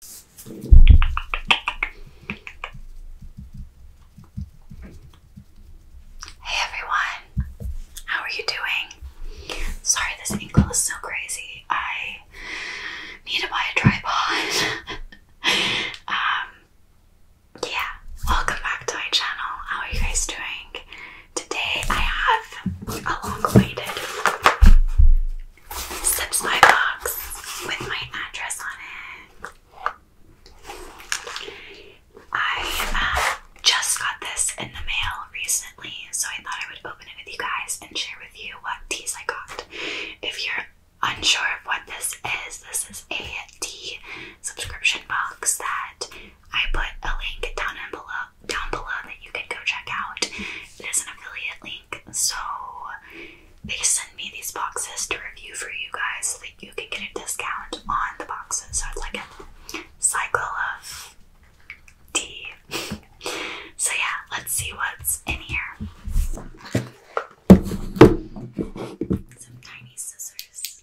Hey everyone, how are you doing? Sorry, this ankle is so crazy. I need to buy a tripod. um, yeah, welcome back to my channel. How are you guys doing? Today I have a long-awaited Zips my box with my address on it. I uh, just got this in the mail recently, so I thought I would open it with you guys and share with you what teas I got. If you're unsure of what this is, this is a tea subscription box that I put a link down below down below that you can go check out. It is an affiliate link, so they send me these boxes to review for you guys so that you can get a discount on the boxes. So it's like a cycle of tea. so yeah, let's see what's in here. Some tiny scissors.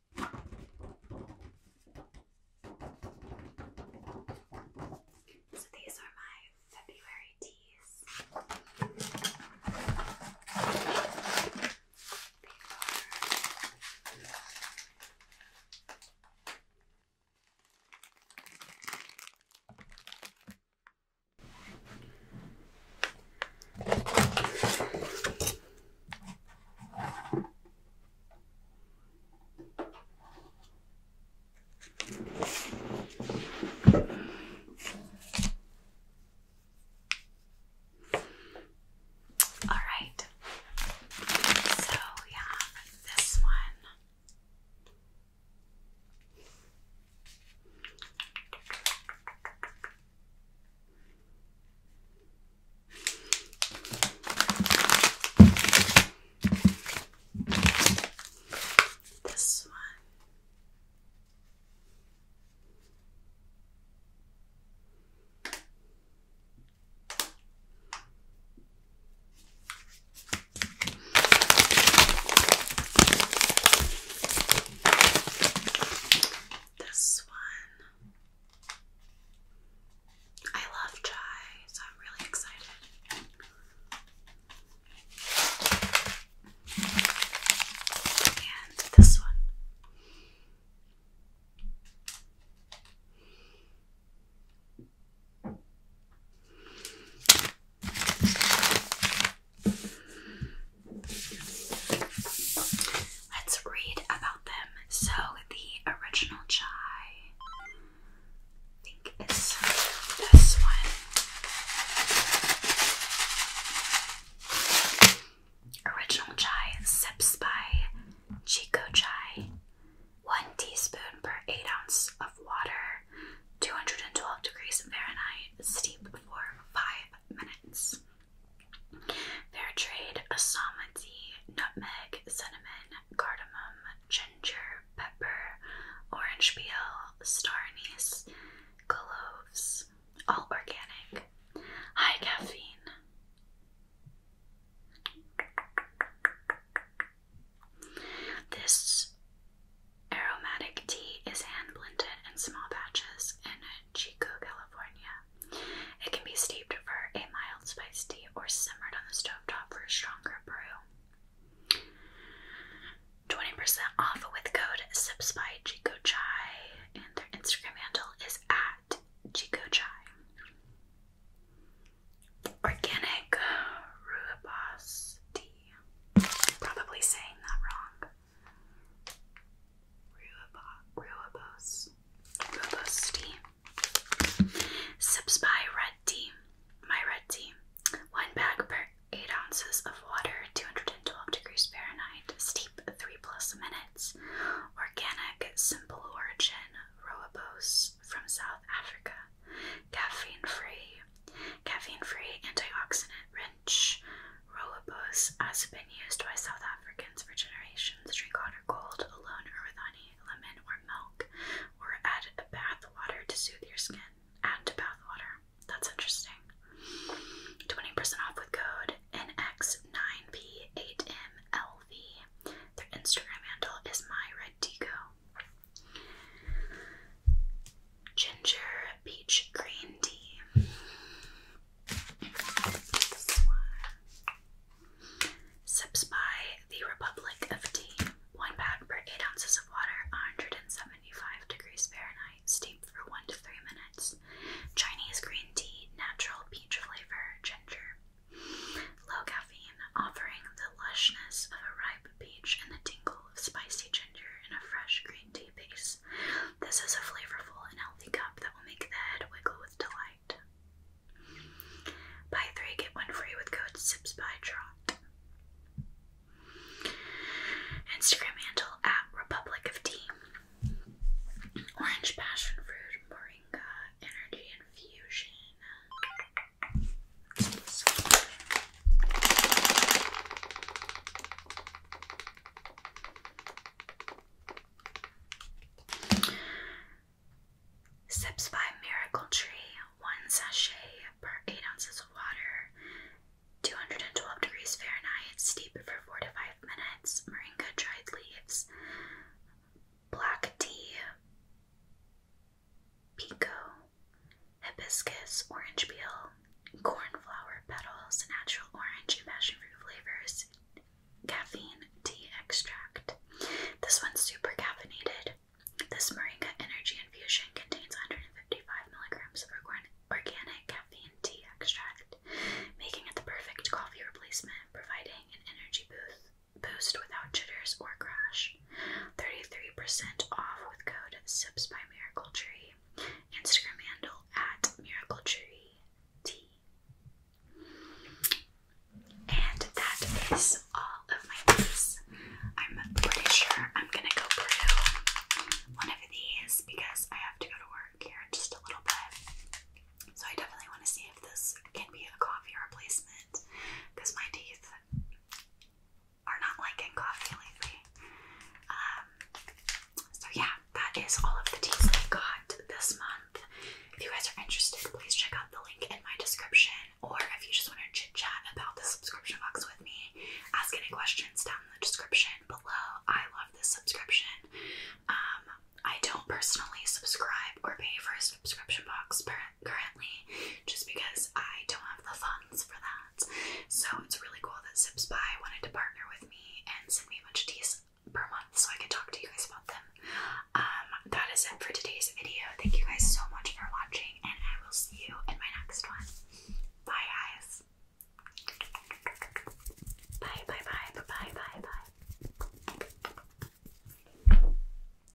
So these are my February teas. All right. So we have this one. This one. This one. I love chai, so I'm really excited. And this one. Let's read about them. So, the original chai, I think, is this one. Original chai sips by Chico Chai. One teaspoon per eight ounce of water, 212 degrees Fahrenheit, steep for five minutes. Fair trade tea, nutmeg, cinnamon, cardamom, ginger, pepper, orange peel, star anise, cloves, all organic, high caffeine. This aromatic tea is hand blended in small batches in Chico, California. It can be steeped for a mild spice tea or simmered on the stove top for a stronger brew. 20% off with code SIPS by and their Instagram handle is at Chico Organic Rooibos tea. probably saying that wrong. Ruibos. Ruibos tea. Sips by red tea. My red tea. One bag per 8 ounces of water, 212 degrees Fahrenheit. Steep 3 plus minutes. Organic, simple origin. Ruibos from South Africa. Caffeine free. Caffeine free antioxidant rich. Rolobos has been used by South Africans for generations. Drink hot or cold, alone, or with honey, lemon, or milk, or add a bath water to soothe your skin. Add to bath water. That's interesting. 20% off with code NX9P8MLV. Their Instagram handle is myreddigo ginger peach green tea. This by the Republic of Tea. One pound per eight ounces of water, 175 degrees Fahrenheit. Steep for one to three minutes. Chinese green tea, natural peach flavor, ginger. Low caffeine, offering the lushness of a ripe peach, and the tingle of spicy ginger in a fresh green tea base. This is a flavorful and healthy cup that will make the head wiggle with delight. Buy three, get one free with code SIPSBYTROT. Instagram handle at Republic Orange passion fruit, moringa, energy infusion. Sips by Miracle Tree, one sachet per 8 ounces of water, 212 degrees Fahrenheit, steep for 4 to 5 minutes, moringa dried leaves, black tea, pico, hibiscus, orange peel, cornflower petals, natural orange and passion fruit flavors, caffeine tea extract. This one's super caffeinated. This Moringa Energy Infusion contains 155 milligrams of organic caffeine tea extract, making it the perfect coffee replacement, providing an energy boost without jitters or crash. 33% off with code SIPS by Miracle Tree. Instagram handle at Miracle Tree Tea. And that is all of my books. I'm pretty sure I'm gonna go brew one of these because I have to go to work here in just a little bit. So I definitely want to see if this can be a coffee replacement because my teeth are not liking coffee lately. Um, so yeah, that is all of the teas I got this month. If you guys are interested, please check out the link in my description, or if you just want to chit chat about the subscription box with me, ask any questions down in the description below. I love this subscription. Um, I don't personally subscribe or pay for a subscription box currently just because I don't have the funds for that. So it's really cool that Zipspy wanted to partner with me and send me a bunch of teas per month so I can talk to you guys about them. Um, that is it for today's video. Thank you guys so much for watching and I will see you in my next one. Bye guys. Bye bye bye bye bye bye bye.